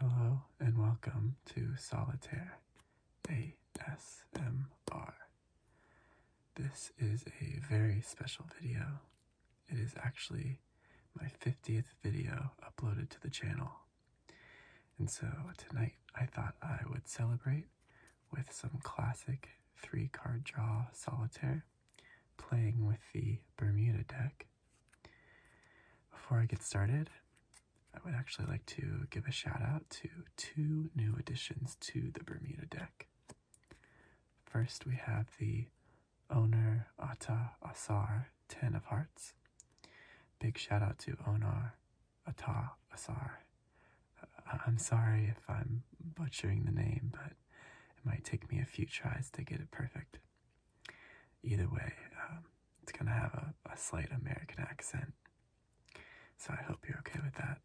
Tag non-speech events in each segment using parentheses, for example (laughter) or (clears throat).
Hello and welcome to Solitaire ASMR. This is a very special video. It is actually my 50th video uploaded to the channel. And so tonight I thought I would celebrate with some classic three card draw solitaire, playing with the Bermuda deck before I get started, I would actually like to give a shout out to two new additions to the Bermuda deck. First, we have the Owner Ata Asar Ten of Hearts. Big shout out to Onar Ata Asar. Uh, I'm sorry if I'm butchering the name, but it might take me a few tries to get it perfect. Either way, um, it's going to have a slight American accent. So I hope you're okay with that.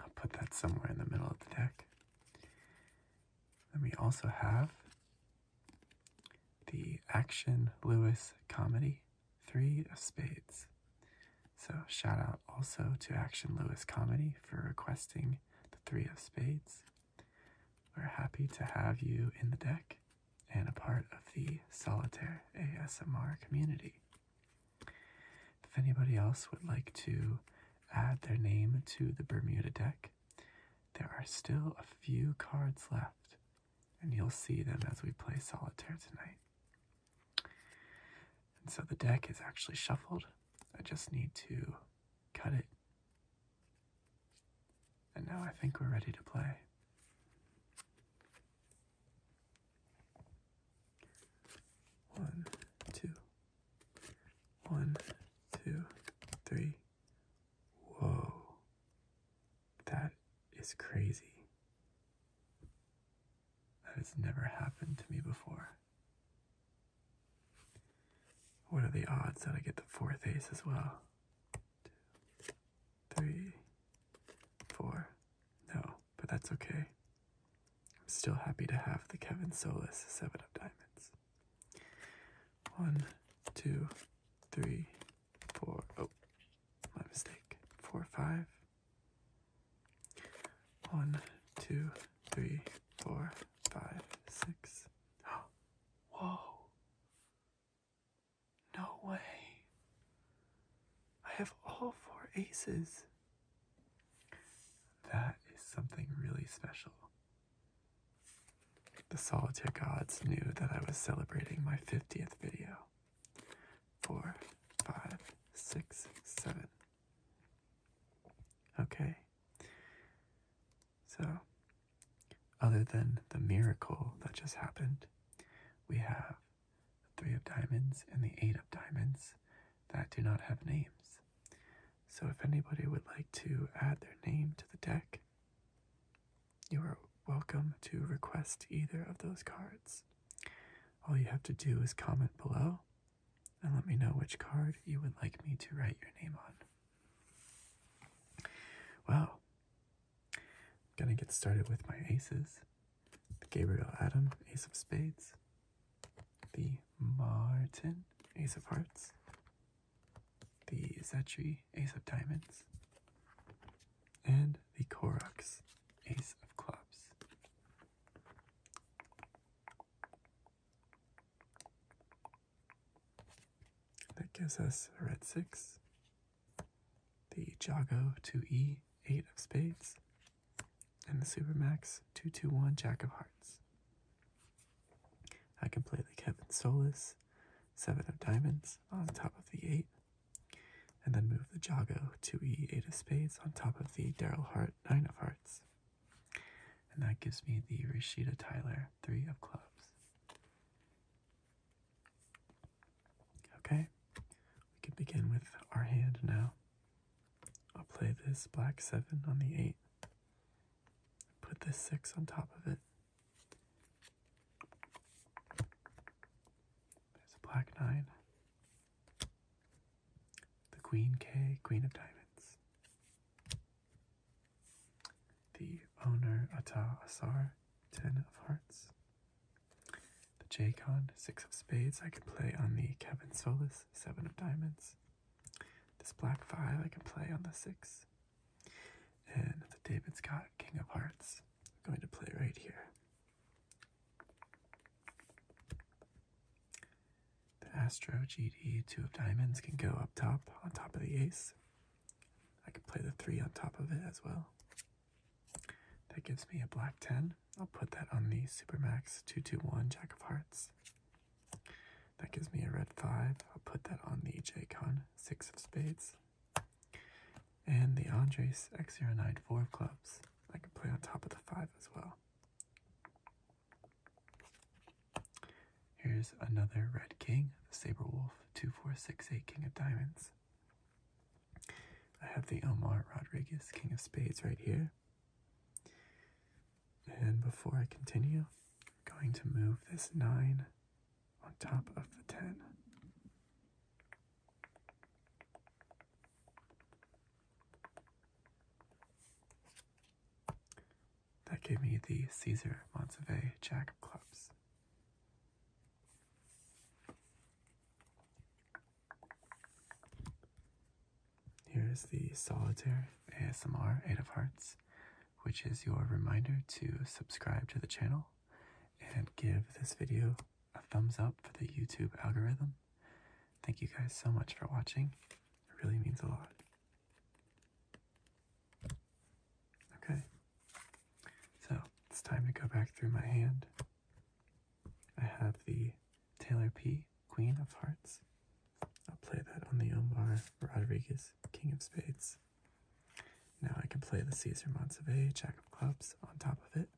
I'll put that somewhere in the middle of the deck. Then we also have the Action Lewis Comedy Three of Spades. So, shout out also to Action Lewis Comedy for requesting the Three of Spades. We're happy to have you in the deck and a part of the Solitaire ASMR community. If anybody else would like to add their name to the Bermuda deck, there are still a few cards left, and you'll see them as we play Solitaire tonight. And so the deck is actually shuffled. I just need to cut it and now I think we're ready to play. One, two, one, two, three. Whoa, that is crazy. That has never happened to me before. What are the odds that I get the fourth ace as well? Two, three, four. No, but that's okay. I'm still happy to have the Kevin Solis seven of diamonds. One, two, three, four. Oh, my mistake. Four, five. One, two, three, four, five, six. Oh, (gasps) Whoa. No way. I have all four aces. That is something really special. The solitaire gods knew that I was celebrating my 50th video. Four, five, six, seven. Okay. So, other than the miracle that just happened, we have the Three of Diamonds and the Eight of Diamonds that do not have names. So, if anybody would like to add their name to the deck, you are welcome to request either of those cards. All you have to do is comment below and let me know which card you would like me to write your name on. Well, I'm gonna get started with my aces. The Gabriel Adam, Ace of Spades. The Martin, Ace of Hearts. The Zetri, Ace of Diamonds. And the Koroks, Ace of Clubs. That gives us red 6, the Jago 2e, 8 of spades, and the Supermax 221 Jack of hearts. I can play the Kevin Solis, 7 of diamonds, on top of the 8, and then move the Jago 2e, 8 of spades, on top of the Daryl Hart, 9 of hearts. And that gives me the Rashida Tyler three of clubs. Okay, we can begin with our hand now. I'll play this black seven on the eight. Put this six on top of it. There's a black nine. The queen K, queen of diamonds. The owner Ata Asar, ten of hearts. The Jaycon six of spades. I can play on the Kevin Solis, seven of diamonds. This black five I can play on the six. And the David Scott, King of Hearts. I'm going to play right here. The Astro GD two of diamonds can go up top on top of the ace. I could play the three on top of it as well. That gives me a black 10. I'll put that on the Super Supermax 221 Jack of Hearts. That gives me a red 5. I'll put that on the Jaycon 6 of Spades. And the Andres X094 of Clubs. I can play on top of the 5 as well. Here's another red king, the Saber Wolf, 2468 King of Diamonds. I have the Omar Rodriguez King of Spades right here. And before I continue, I'm going to move this 9 on top of the 10. That gave me the Caesar Montevey Jack of Clubs. Here is the Solitaire ASMR 8 of Hearts, which is your reminder to subscribe to the channel and give this video a thumbs up for the YouTube algorithm. Thank you guys so much for watching, it really means a lot. Okay, so it's time to go back through my hand. I have the Taylor P, Queen of Hearts. I'll play that on the Omar Rodriguez, King of Spades. Now I can play the Caesar Montsevier, Jack of Clubs on top of it.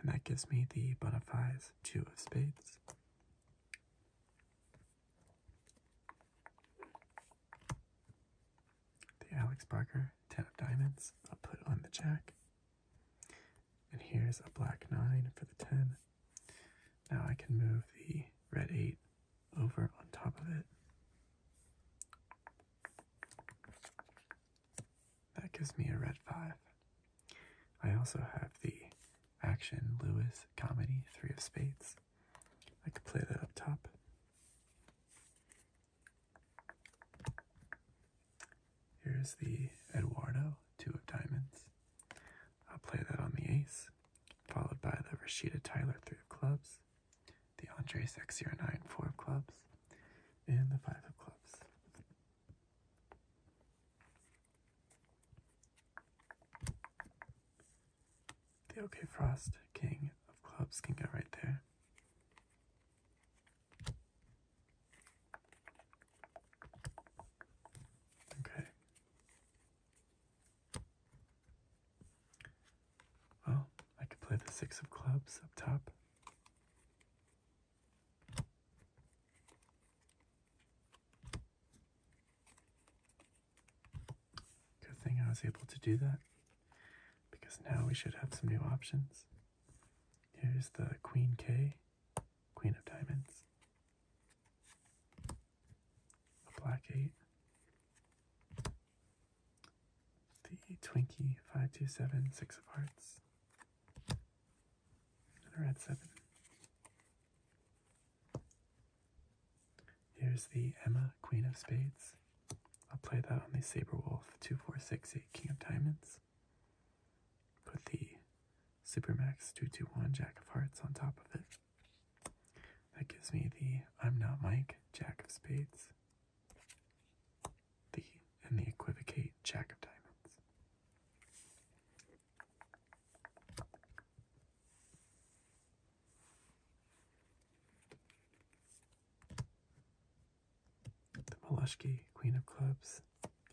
And that gives me the Bonafies, Two of Spades. The Alex Barker ten of diamonds. I'll put on the jack. And here's a black nine for the ten. Now I can move the red eight over on top of it. That gives me a red five. I also have the action, Lewis, comedy, three of spades. I could play that up top. Here's the Eduardo, two of diamonds. I'll play that on the ace, followed by the Rashida Tyler, three of clubs, the Andre Sexier, nine, four of clubs, and the five of clubs. The OK Frost King of Clubs can go right there. Okay. Well, I could play the Six of Clubs up top. Good thing I was able to do that because now we should have some new options. Here's the Queen K, Queen of Diamonds, a Black 8, the Twinkie five two seven six of Hearts, and a Red 7. Here's the Emma, Queen of Spades. I'll play that on the Saber Wolf 2468 King of Diamonds. Put the Supermax 221 Jack of Hearts on top of it. That gives me the I'm not Mike Jack of Spades. The and the equivocate Jack of Diamonds. The Moleskine Queen of Clubs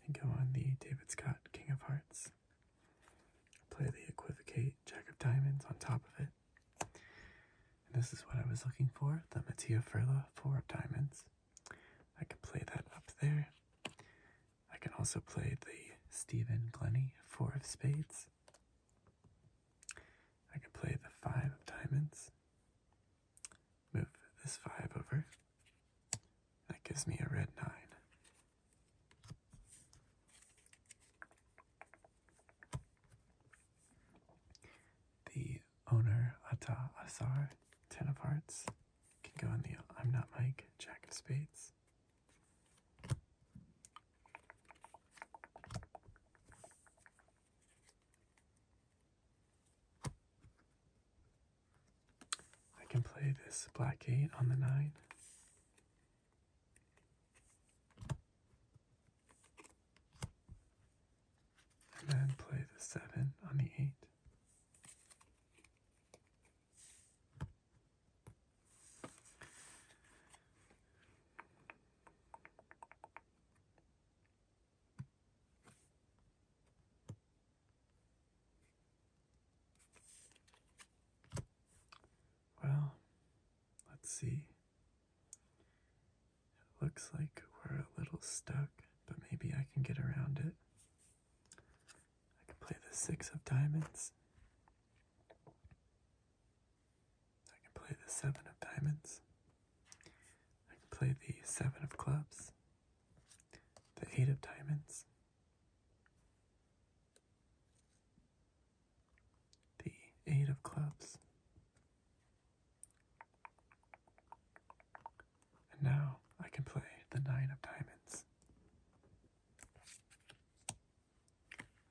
can go on the David Scott King of Hearts. Play the Equivocate Jack of Diamonds on top of it. this is what I was looking for the Mattia Furla Four of Diamonds. I can play that up there. I can also play the Stephen Glenny Four of Spades. I can play the Five of Diamonds. Move this five over. That gives me a red nine. The owner Ata Asar, Ten of Hearts, can go on the I'm Not Mike, Jack of Spades. I can play this black eight on the nine. And then play the seven on the eight. Well, let's see. It looks like we're a little stuck, but maybe I can get around it. I can play the six of diamonds. I can play the seven of diamonds. I can play the seven of clubs. The eight of diamonds. The eight of clubs. And now I can play the nine of diamonds.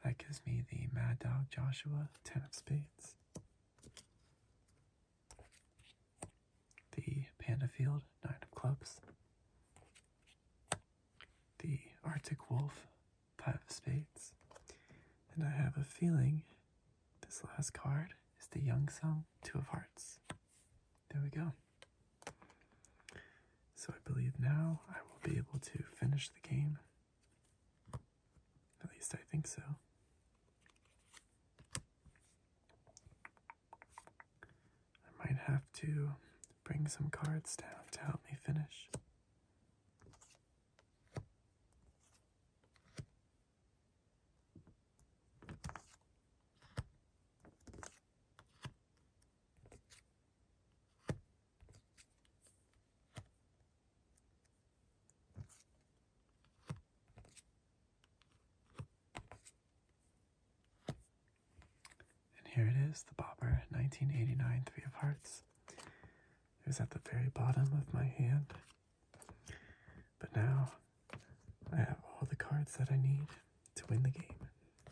That gives me the Mad Dog Joshua, 10 of spades. The Panda Field, 9 of clubs. The Arctic Wolf, 5 of spades. And I have a feeling this last card is the Young Song 2 of hearts. There we go. So I believe now I will be able to finish the game. At least I think so. I might have to bring some cards down to help me finish. And here it is, the Bobber 1989 Three of Hearts. It was at the very bottom of my hand. But now I have all the cards that I need to win the game.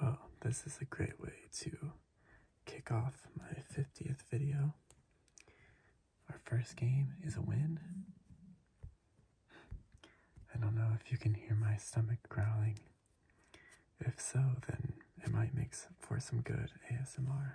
Well, this is a great way to kick off my 50th video. Our first game is a win. I don't know if you can hear my stomach growling. If so, then it might make for some good ASMR.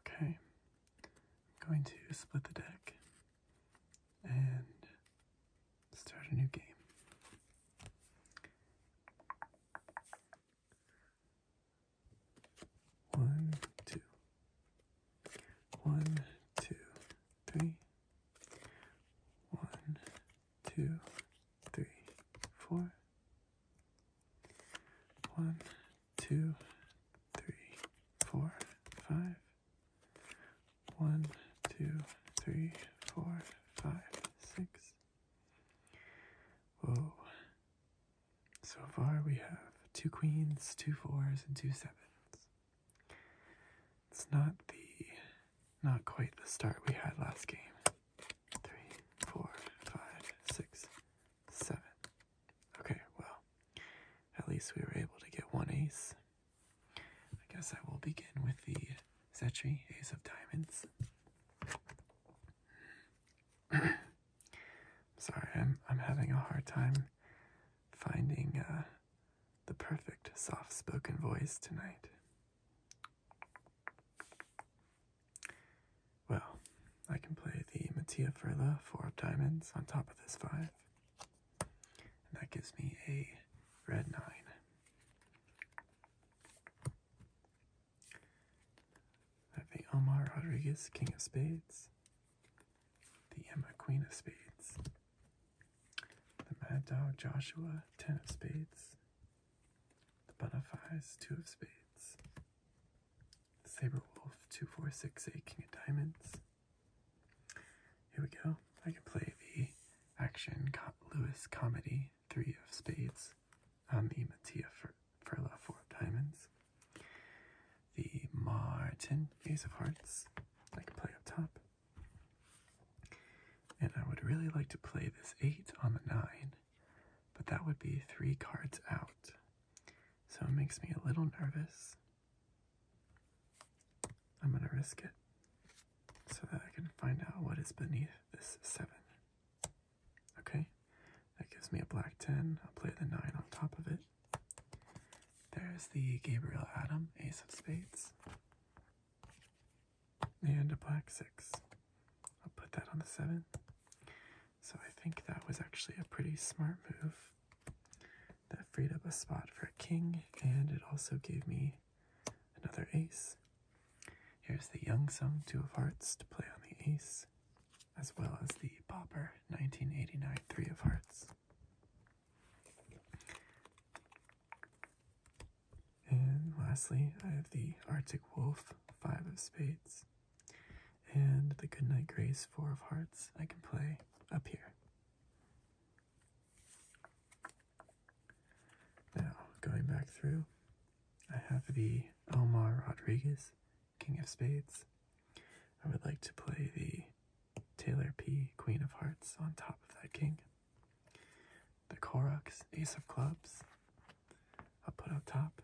Okay, I'm going to split the deck and start a new game. One, two. One, two, three. One, two, three, four. One, two, three, four, five. One, two, three, four, five, six. Whoa. So far we have two queens, two fours, and two sevens. It's not the, not quite the start we had last game. Three, four, five, six, seven. Okay, well, at least we were able to get one ace. I guess I will begin with the Zetri, Ace of Diamonds. (clears throat) Sorry, I'm I'm having a hard time finding uh, the perfect soft spoken voice tonight. Well, I can play the Mattia Frilla Four of Diamonds on top of this five, and that gives me a red nine. I have the Omar Rodriguez King of Spades the Emma Queen of Spades. The Mad Dog Joshua, Ten of Spades. The Butterflies, Two of Spades. The Saber Wolf, Two, Four, Six, Eight, King of Diamonds. Here we go. I can play the action com Lewis comedy, Three of Spades, on the Mattia Furla, Four of Diamonds the Martin Ace of Hearts. I can play up top. And I would really like to play this 8 on the 9, but that would be 3 cards out. So it makes me a little nervous. I'm going to risk it so that I can find out what is beneath this 7. Okay, that gives me a black 10. I'll play the 9 on top of it. There's the Gabriel Adam, Ace of Spades, and a black six. I'll put that on the seven. So I think that was actually a pretty smart move. That freed up a spot for a king, and it also gave me another ace. Here's the Young Sung Two of Hearts to play on the ace, as well as the Popper 1989 Three of Hearts. And lastly, I have the Arctic Wolf, five of spades, and the Goodnight Grace, four of hearts. I can play up here. Now, going back through, I have the Omar Rodriguez, king of spades. I would like to play the Taylor P, Queen of Hearts on top of that king. The Koroks, Ace of Clubs, I'll put up top.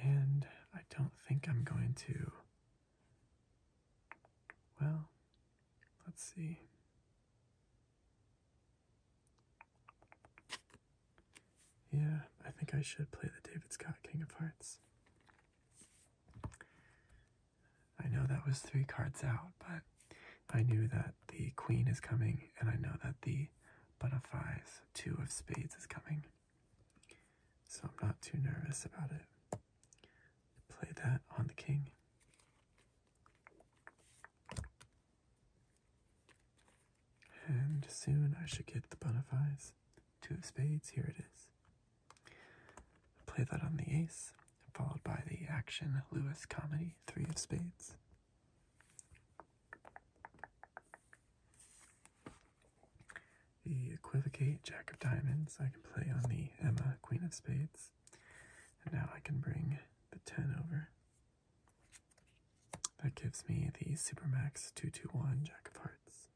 And I don't think I'm going to. Well, let's see. Yeah, I think I should play the David Scott King of Hearts. I know that was three cards out, but I knew that the queen is coming, and I know that the butterflies, two of spades, is coming. So I'm not too nervous about it. Play that on the king. And soon I should get the butterflies. Two of spades, here it is. Play that on the ace, followed by the action Lewis comedy, three of spades. The equivocate jack of diamonds I can play on the Emma, queen of spades. And now I can bring the 10 over. That gives me the supermax 221 jack of hearts.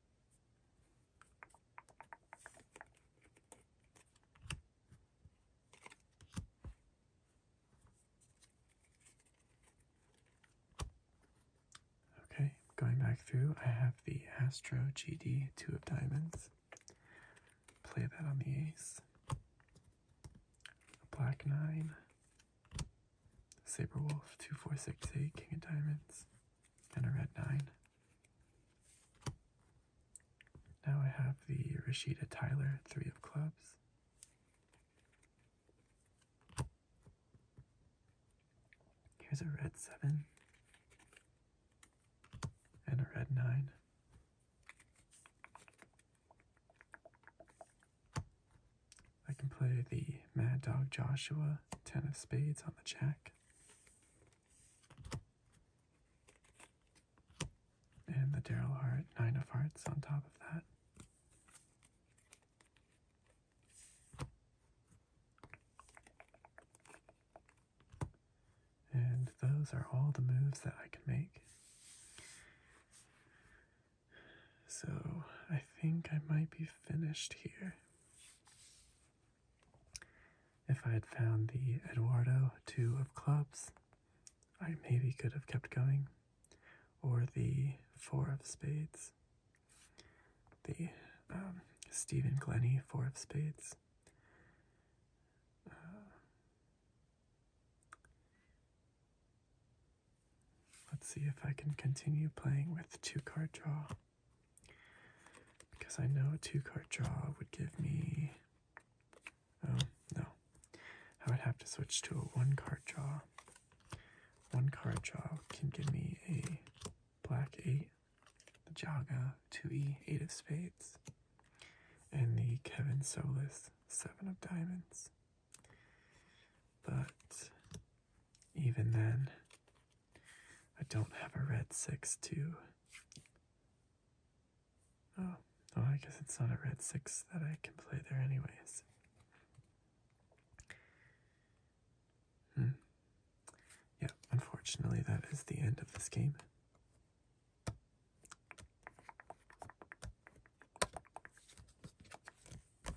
Okay, going back through, I have the Astro GD two of diamonds. Play that on the ace. A black nine. Saber Wolf two four six eight King of Diamonds and a red nine. Now I have the Rashida Tyler three of clubs. Here's a red seven and a red nine. I can play the Mad Dog Joshua ten of spades on the jack. And the Daryl Heart Nine of Hearts on top of that. And those are all the moves that I can make. So I think I might be finished here. If I had found the Eduardo Two of Clubs, I maybe could have kept going, or the Four of Spades, the um, Stephen Glennie Four of Spades. Uh, let's see if I can continue playing with two card draw. Because I know a two card draw would give me. Oh, no. I would have to switch to a one card draw. One card draw can give me a black 8, the Jaga 2E 8 of spades, and the Kevin Solis 7 of diamonds. But even then, I don't have a red 6 too. Oh, well, I guess it's not a red 6 that I can play there, anyways. Hmm. Yeah, unfortunately, that is the end of this game.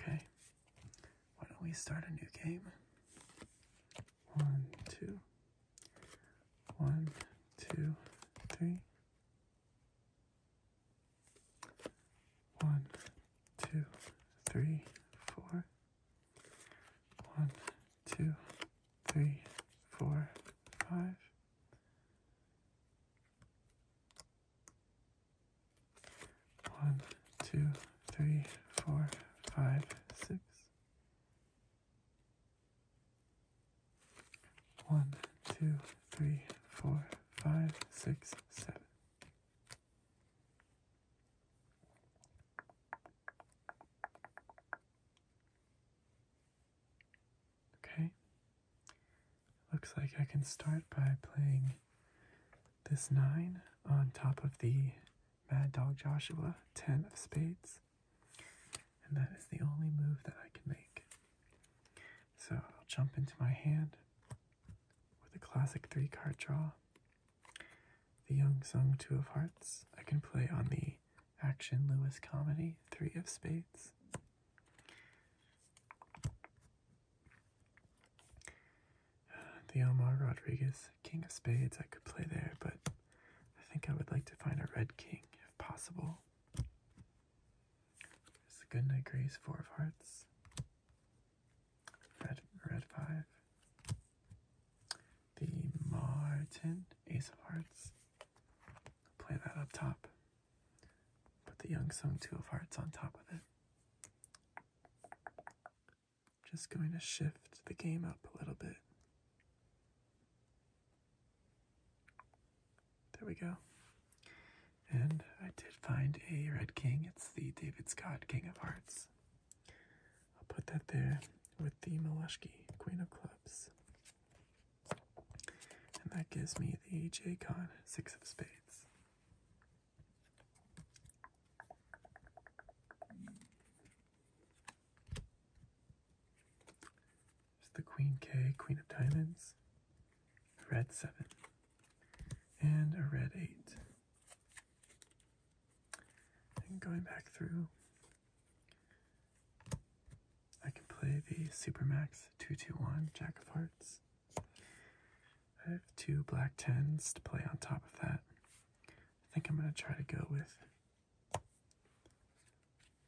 Okay, why don't we start a new game? One, two, one, two, three, one, two, three, four, one, two, three, four, five. One, two, three, four, five, six. One, two, three, four, five, six, seven. Okay. Looks like I can start by playing this 9 on top of the Mad Dog Joshua 10 of spades. And that is the only move that I can make. So I'll jump into my hand with a classic three card draw. The Young Sung Two of Hearts. I can play on the Action Lewis Comedy Three of Spades. The Omar Rodriguez King of Spades. I could play there, but I think I would like to find a Red King if possible. There's the Goodnight Grace Four of Hearts. Red, red five. The Martin, ace of hearts. Play that up top. Put the Young Song two of hearts on top of it. Just going to shift the game up a little bit. There we go. And I did find a red king. It's the David Scott King of Hearts. I'll put that there with the Moleshki, Queen of Clubs. And that gives me the J-Con, Six of Spades. There's the Queen K, Queen of Diamonds, a Red 7, and a Red 8. And going back through, I can play the Supermax 221 Jack of Hearts. I have two black tens to play on top of that. I think I'm going to try to go with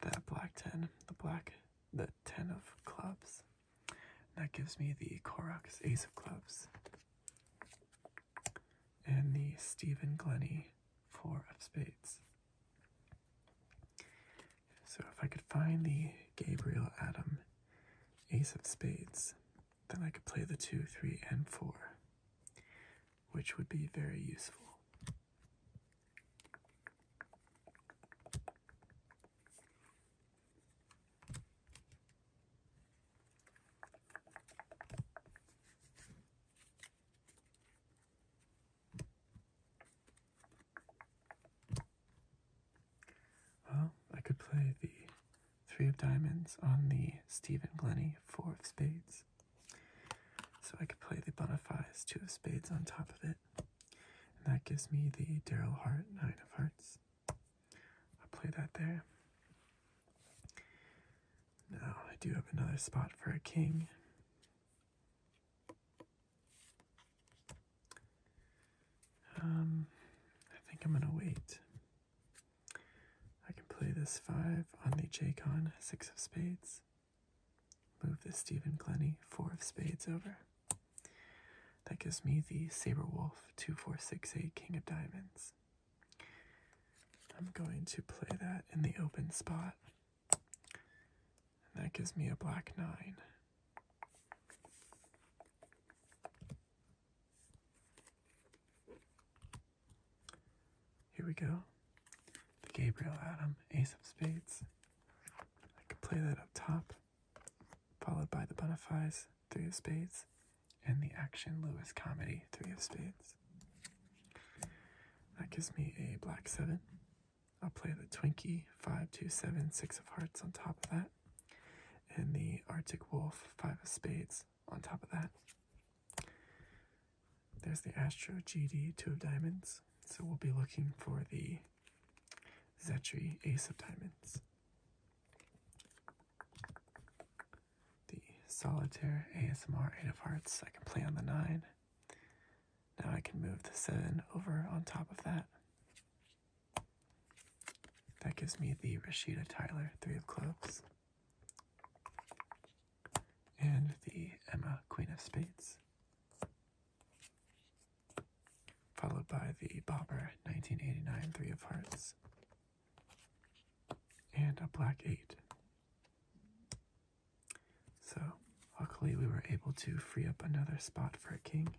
that black ten, the black, the ten of clubs. that gives me the Corax Ace of Clubs and the Stephen Glennie Four of Spades. So if I could find the Gabriel Adam Ace of Spades, then I could play the 2, 3, and 4, which would be very useful. Well, I could play the Three of Diamonds on the Stephen Glennie Four of Spades. So I could play the Boniface Two of Spades on top of it. And that gives me the Daryl Hart Nine of Hearts. I'll play that there. Now oh, I do have another spot for a king. Um, I think I'm gonna wait. I can play this five on the Jaycon six of spades. Move the Stephen Glennie, four of spades over. That gives me the Saber Wolf, 2468 King of Diamonds. I'm going to play that in the open spot. And that gives me a black nine. Here we go. The Gabriel Adam, Ace of Spades. I can play that up top, followed by the Bonifies. Three of Spades, and the Action Lewis Comedy, Three of Spades. That gives me a black seven. I'll play the Twinkie, five, two, seven, six of hearts on top of that, and the Arctic Wolf, five of spades on top of that. There's the Astro GD, two of diamonds, so we'll be looking for the Zetri, ace of diamonds the solitaire ASMR 8 of hearts. I can play on the 9. Now I can move the 7 over on top of that. That gives me the Rashida Tyler 3 of clubs. And the Emma Queen of spades. Followed by the Bobber 1989 3 of hearts and a black 8. So, luckily, we were able to free up another spot for a king.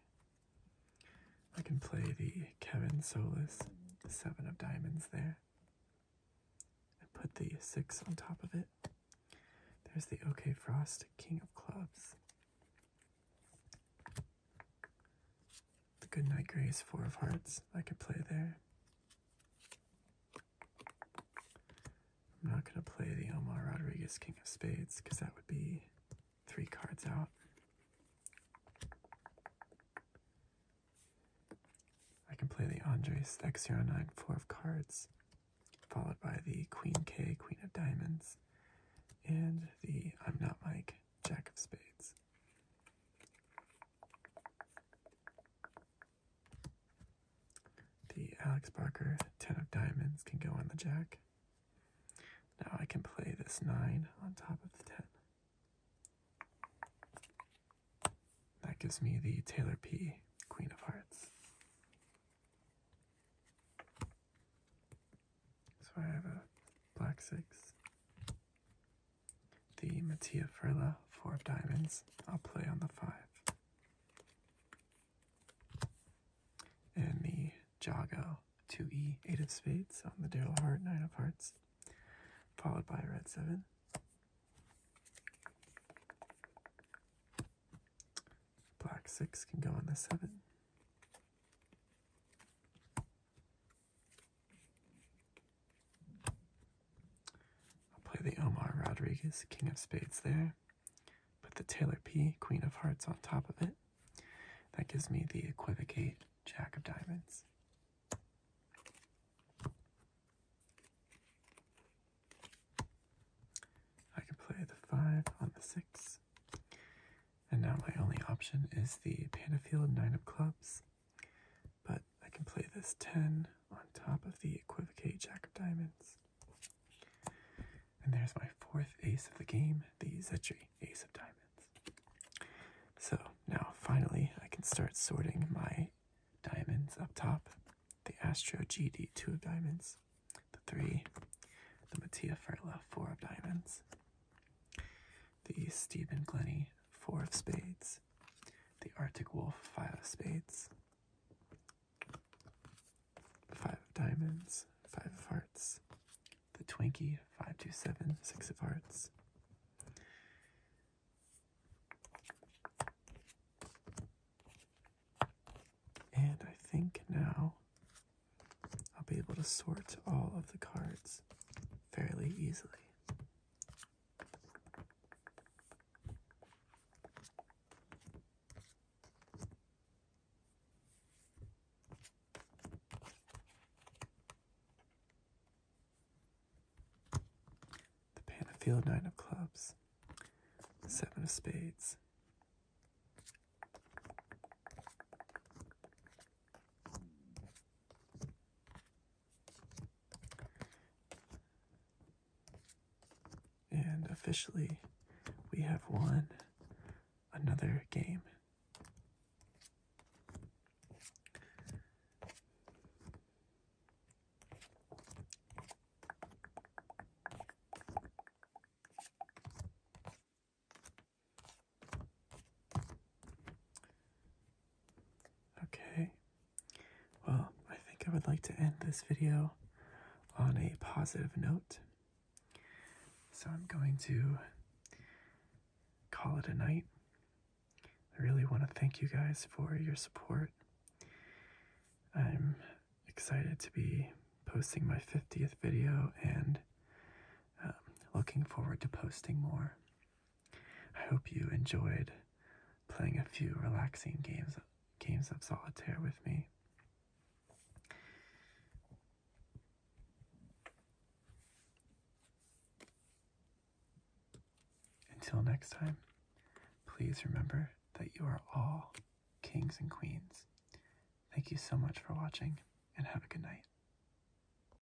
I can play the Kevin Solis 7 of Diamonds there I put the 6 on top of it. There's the OK Frost King of Clubs. The good knight gray four of hearts. I could play there. I'm not going to play the Omar Rodriguez king of spades because that would be three cards out. I can play the Andres X09 four of cards, followed by the Queen K, Queen of Diamonds, and the I'm Not Mike Jack of Spades. The Alex Barker 10 of diamonds can go on the jack. Now I can play this 9 on top of the 10. That gives me the Taylor P Queen of Hearts. So I have a black 6. The Mattia Furla, four of diamonds. I'll play on the five. And the Jago, 2e, eight of spades on the Daryl heart nine of hearts. Followed by a red seven. Black six can go on the seven. I'll play the Omar Rodriguez, King of Spades there. Put the Taylor P, Queen of Hearts on top of it. That gives me the equivocate Jack of Diamonds. I can play the 5 on the 6. And now my only option is the Panafield Nine of Clubs. But I can play this 10 on top of the equivocate jack of diamonds. And there's my fourth ace of the game, the Zetri ace of diamonds. So now finally I can start sorting my diamonds up top. The Astro GD, two of diamonds. The three, the Mattia Ferla, four of diamonds the Stephen Glennie, four of spades, the Arctic Wolf, five of spades, five of diamonds, five of hearts, the Twinkie, Five Two Seven Six of hearts. And I think now I'll be able to sort all of the cards fairly easily. The Panafield Nine of Clubs, Seven of Spades. And officially, we have won another game. Okay. Well, I think I would like to end this video on a positive note. So I'm going to call it a night. I really want to thank you guys for your support. I'm excited to be posting my 50th video and um, looking forward to posting more. I hope you enjoyed playing a few relaxing games games of solitaire with me. Until next time, please remember that you are all kings and queens. Thank you so much for watching and have a good night.